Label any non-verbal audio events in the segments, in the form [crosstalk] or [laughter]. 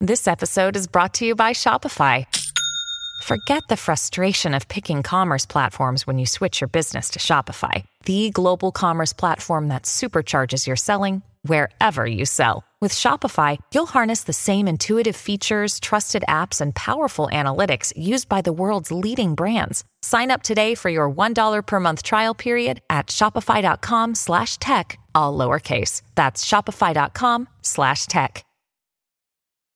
This episode is brought to you by Shopify. Forget the frustration of picking commerce platforms when you switch your business to Shopify, the global commerce platform that supercharges your selling wherever you sell. With Shopify, you'll harness the same intuitive features, trusted apps, and powerful analytics used by the world's leading brands. Sign up today for your $1 per month trial period at shopify.com slash tech, all lowercase. That's shopify.com slash tech.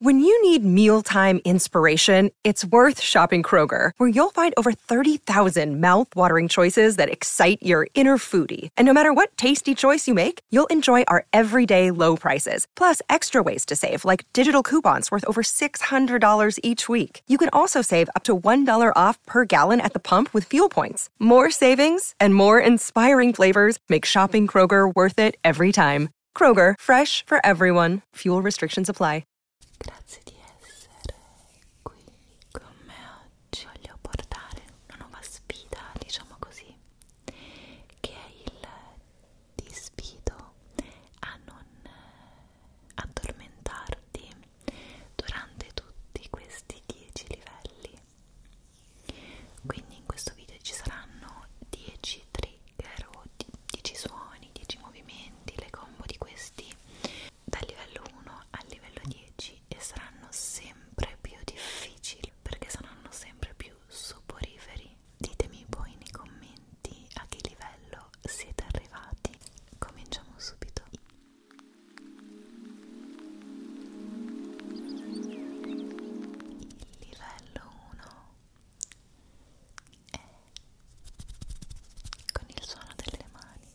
When you need mealtime inspiration, it's worth shopping Kroger, where you'll find over 30,000 mouthwatering choices that excite your inner foodie. And no matter what tasty choice you make, you'll enjoy our everyday low prices, plus extra ways to save, like digital coupons worth over $600 each week. You can also save up to $1 off per gallon at the pump with fuel points more savings and more inspiring flavors make shopping Kroger worth it every time. Kroger, fresh for everyone. Fuel restrictions apply. Grazie di essere qui con me oggi. Voglio portare una nuova sfida, diciamo così, che è il ti a non addormentarti durante tutti questi 10 livelli quindi in questo video ci saranno 10 trigger o 10 suoni 10 movimenti le combo di questi dal livello 1 al livello 10 e saranno sempre più difficili perché saranno sempre più soporiferi ditemi poi nei commenti a che livello siete arrivati cominciamo subito livello 1 è con il suono delle mani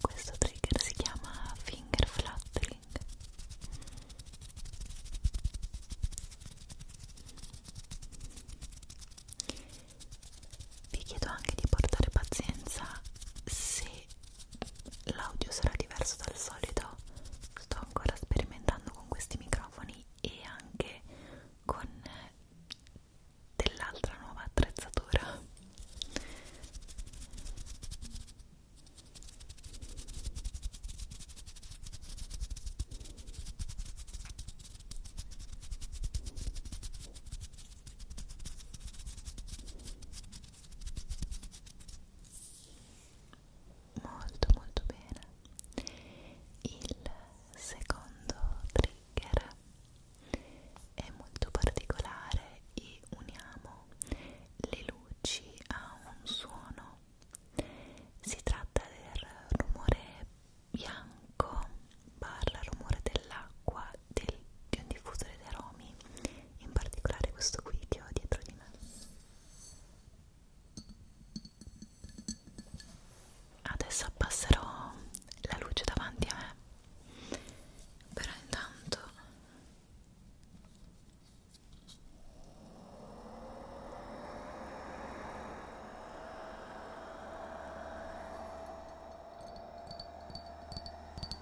Questo trigger si chiama finger fluttering. Vi chiedo anche di portare pazienza se l'audio sarà diverso dal solito sto ancora sperimentando con questi microfoni e anche con eh, dell'altra nuova attrezzatura molto molto bene il secondo trigger è molto particolare e uniamo le luci a un suono si tratta del rumore bianco barra rumore dell'acqua del, di un diffusore di aromi in particolare questo qui che ho dietro di me adesso abbasserò la luce davanti a me però intanto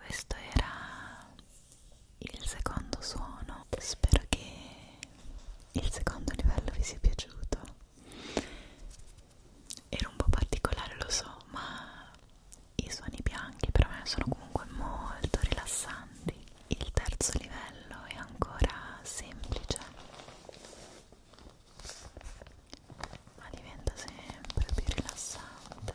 Questo era il secondo suono spero che il secondo livello vi sia piaciuto era un po' particolare lo so ma i suoni bianchi per me sono comunque molto rilassanti il terzo livello è ancora semplice ma diventa sempre più rilassante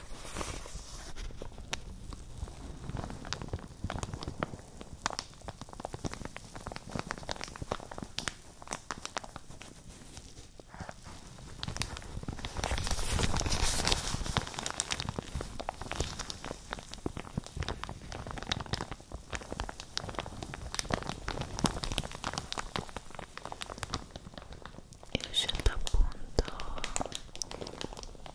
Io ho scelto appunto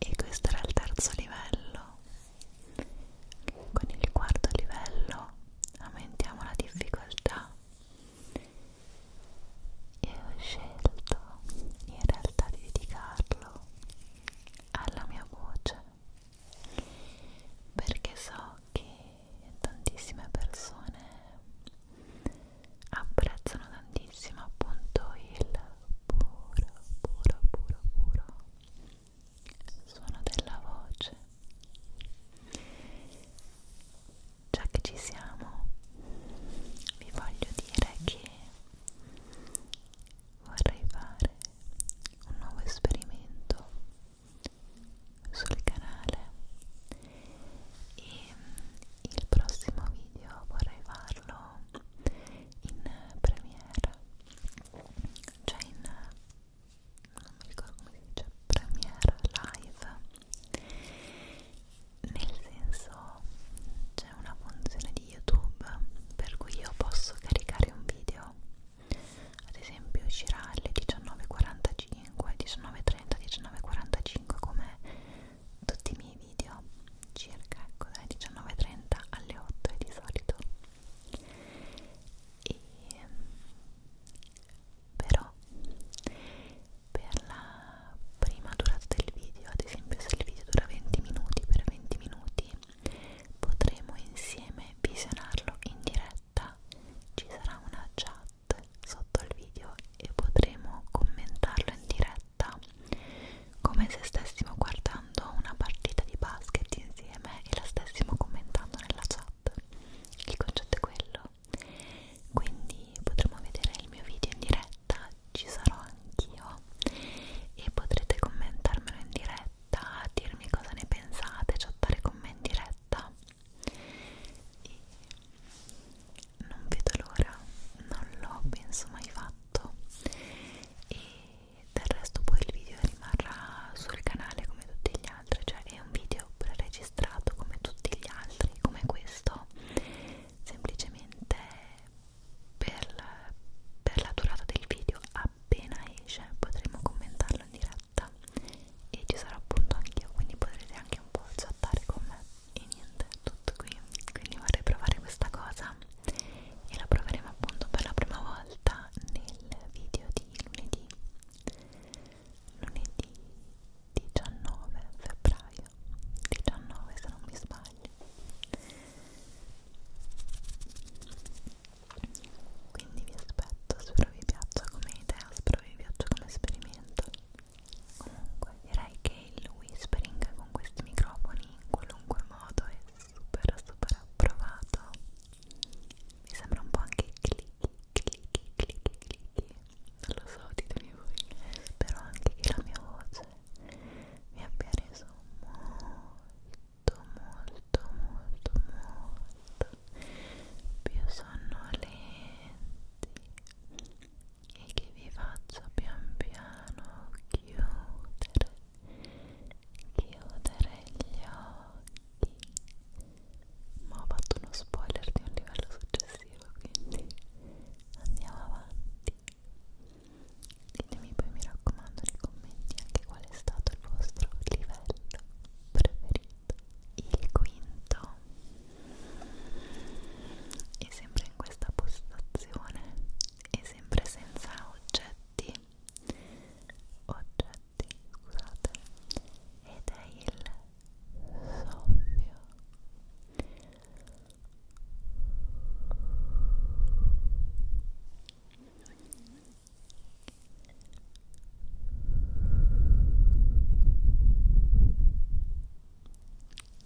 e questo era il terzo livello con il quarto livello aumentiamo la difficoltà e ho scelto in realtà di dedicarlo alla mia voce perché so che tantissime persone apprezzano tantissimo appunto il puro puro puro puro suono della voce già che ci siamo vi voglio dire che vorrei fare un nuovo esperimento sul canale e mm, il prossimo video vorrei farlo in premiere cioè in non mi ricordo come si dice premiere live nel senso c'è una funzione di youtube per cui io posso caricare un video ad esempio uscirà alle 19.45 19.30 19.45 come tutti i miei video circa ecco dalle 19.30 alle 8 di solito e però per la prima durata del video ad esempio se il video dura 20 minuti per 20 minuti potremo insieme visionarlo in diretta ci sarà una chat chat sotto il video e potremo commentarlo in diretta come se stessimo guardando una partita di basket insieme e la stessimo commentando nella chat il concetto è quello quindi potremo vedere il mio video in diretta ci sarò anch'io e potrete commentarmelo in diretta dirmi cosa ne pensate chattare con me in diretta e non vedo l'ora, non l'ho penso mai fatto e del resto poi il video rimarrà sul canale come tutti gli altri, cioè è un video preregistrato come tutti gli altri, come questo, semplicemente per la, per la durata del video appena esce potremo commentarlo in diretta e ci sarò appunto anch'io, quindi potrete anche un po' chattare con me e niente, è tutto qui quindi vorrei provare questa cosa e la proveremo appunto per la prima volta nel video di lunedì lunedì 19 febbraio 19 se non mi sbaglio quindi vi aspetto, spero vi piaccia come idea, spero vi piaccia come esperimento comunque direi che il whispering con questi microfoni in qualunque modo è super super approvato mi sembra un po' anche clicchi clicchi clicchi clicchi non lo so ditemi voi spero anche che la mia voce mi abbia reso molto molto molto molto più sonnolenti e che vi faccio pian piano chiudere chiudere gli occhi ma ho fatto uno spoiler di un livello successivo quindi andiamo avanti ditemi poi mi raccomando nei commenti anche qual è stato il vostro livello preferito il quinto e sempre in questa postazione e sempre senza oggetti oggetti scusate ed è il soffio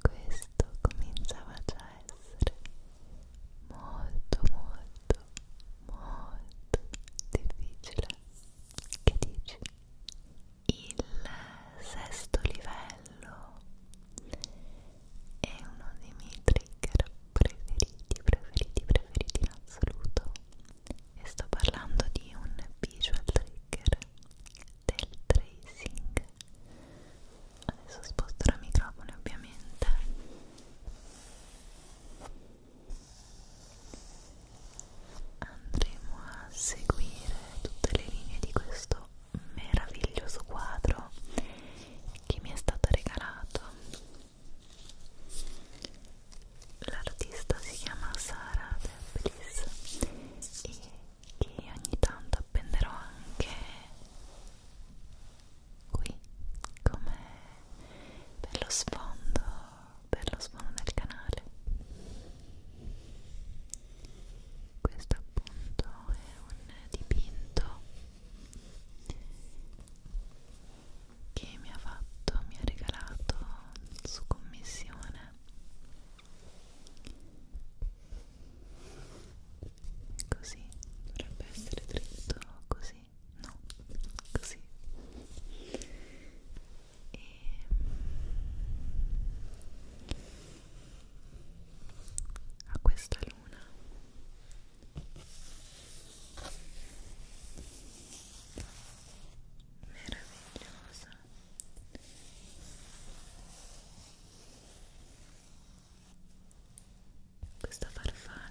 Questo cominciava già a essere molto molto molto difficile. Che dici? Il sesto livello è uno dei miei trigger preferiti, preferiti, preferiti in assoluto e sto parlando di un visual trigger del tracing adesso sposterò il microfono ovviamente andremo a seguire tutte le linee di questo meraviglioso quadro che mi è stato regalato l'artista si chiama Sara Debris e che ogni tanto appenderò anche qui come per lo sfondo per lo sfondo del canale questo appunto è un dipinto che mi ha fatto, mi ha regalato su commissione così dovrebbe essere dritto così no così e a questa luna meravigliosa questa farfalla questa farfalla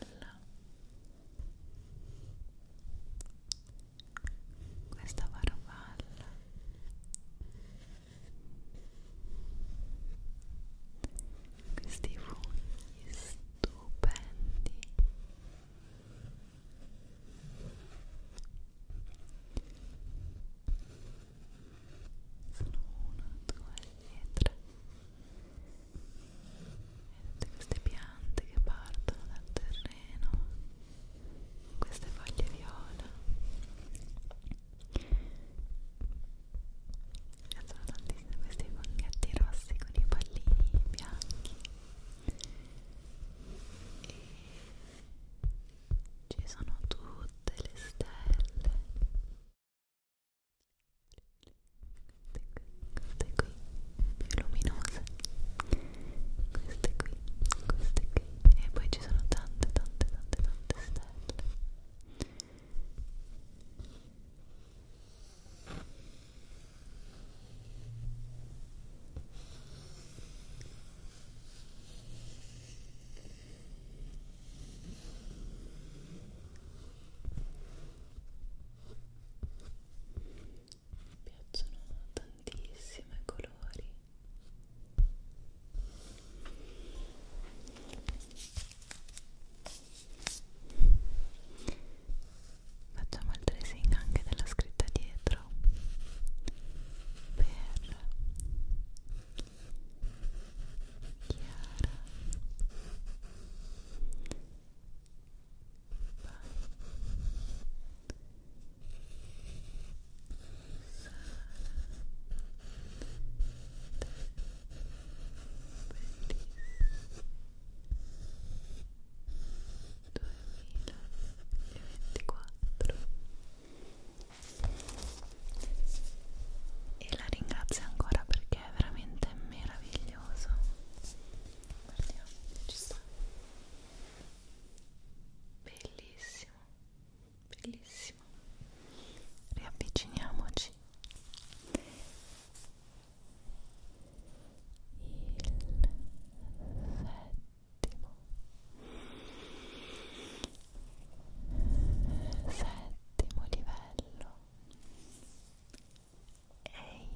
questi funghi stupendi sono uno, due e tre e tutte queste piante che partono dal terreno queste foglie viola mi piacciono tantissimo questi funghetti rossi con i pallini bianchi e ci sono tutte le stelle queste qui, più luminose queste qui, queste qui e poi ci sono tante tante tante tante stelle mi piacciono tantissimo i colori. Facciamo il tracing anche della scritta dietro per Chiara, Vai. Sara, e la ringrazio ancora perché è veramente meraviglioso guardiamo ci sta bellissimo bellissimo riavviciniamoci il settimo settimo livello e il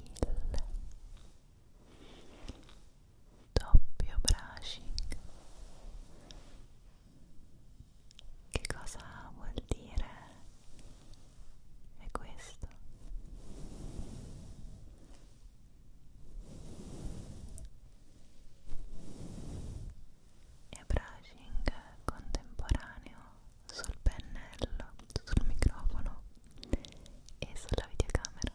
doppio brushing che cosa vuol dire? È questo. E brushing contemporaneo sul pennello, sul microfono e sulla videocamera.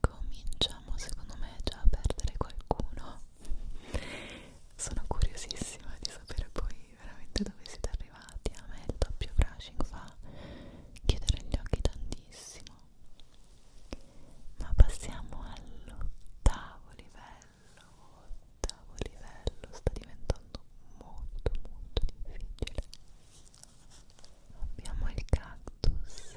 Cominciamo secondo me già a perdere qualcuno. Sono curiosissima di sapere poi veramente dove siete arrivati. A me il doppio brushing fa chiedere gli occhi tantissimo ma passiamo all'ottavo livello ottavo livello sta diventando molto molto difficile abbiamo il cactus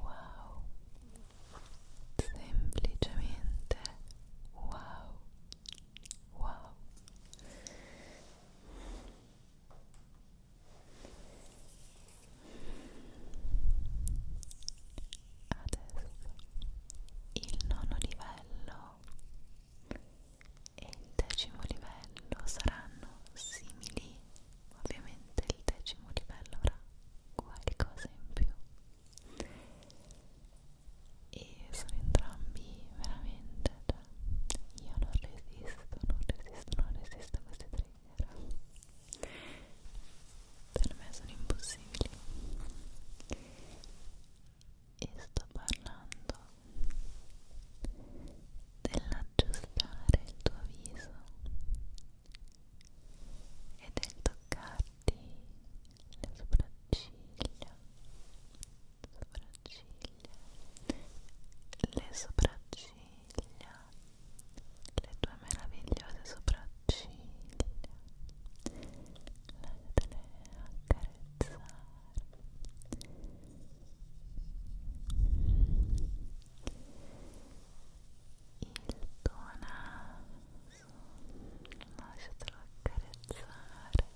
Wow, semplicemente wow, wow il nono livello e il decimo livello saranno simili, ovviamente il decimo livello avrà qualcosa in più e sono entrambi veramente, cioè, io non resisto, non resisto, non resisto a questi trigger. Per me sono impossibili. E sto parlando dell'aggiustare il tuo viso e del toccarti le sopracciglia sopracciglia, le sopracciglia, le tue meravigliose sopracciglia, lasciatele accarezzare. Il tuo naso, lasciatelo accarezzare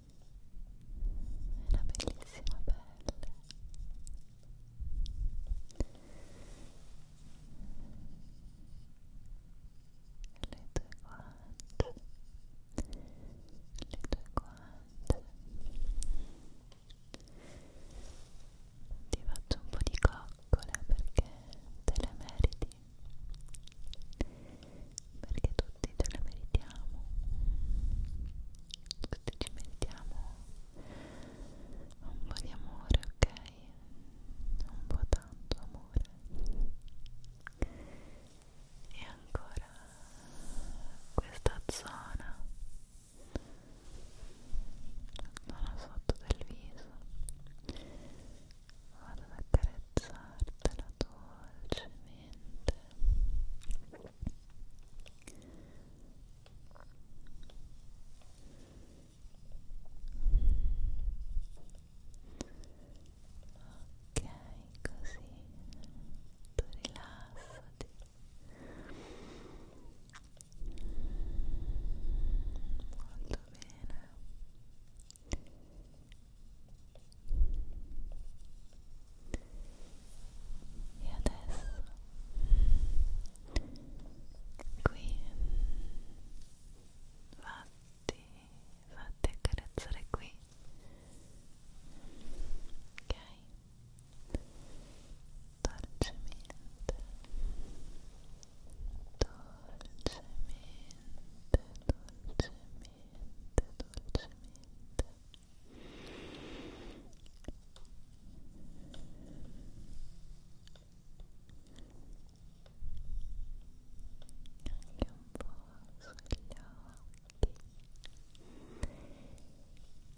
una bellissima pelle le tue guance le tue guance ti faccio un po' di coccole perché te le meriti perché tutti ce la meritiamo tutti ci meritiamo un po' di amore, ok? un po' tanto amore e ancora questa zona zona sotto del viso vado ad accarezzartela dolcemente ok così tu rilassati molto bene e adesso qui fatti, fatti accarezzare qui. Ok? Dolcemente, dolcemente, dolcemente dolcemente, dolcemente anche un po' sugli occhi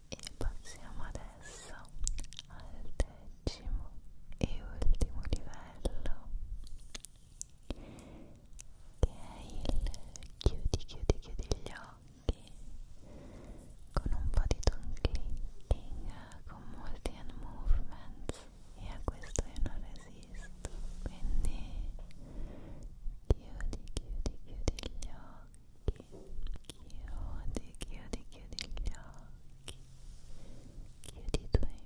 e passiamo adesso al decimo e ultimo livello che è il chiudi, chiudi, chiudi gli occhi con un po' di tongue clicking, con molti hand movements e a questo io non resisto, quindi chiudi, chiudi, chiudi gli occhi, chiudi, chiudi, chiudi gli occhi, chiudi i tuoi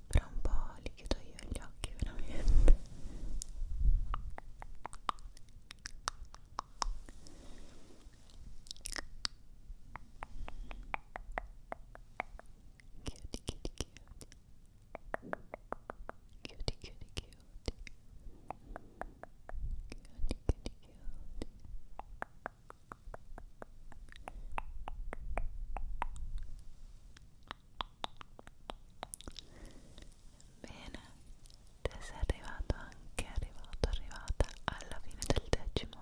fra un po' li chiudo io gli occhi veramente chiudi chiudi chiudi chiudi chiudi chiudi chiudi chiudi chiudi Bene, te sei arrivato anche arrivato, arrivata alla fine del decimo.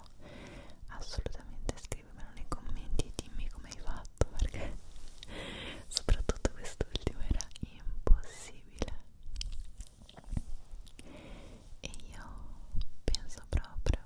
Assolutamente scrivimelo nei commenti e dimmi come hai fatto perché [laughs] soprattutto quest'ultimo era impossibile. E io penso proprio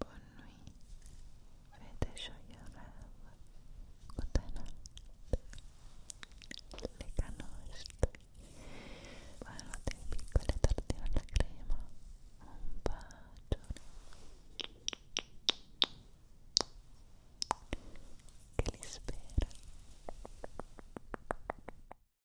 Bonne nuit, déjà estoy. Bueno, te la le tortilla la crema. Un Que les espera?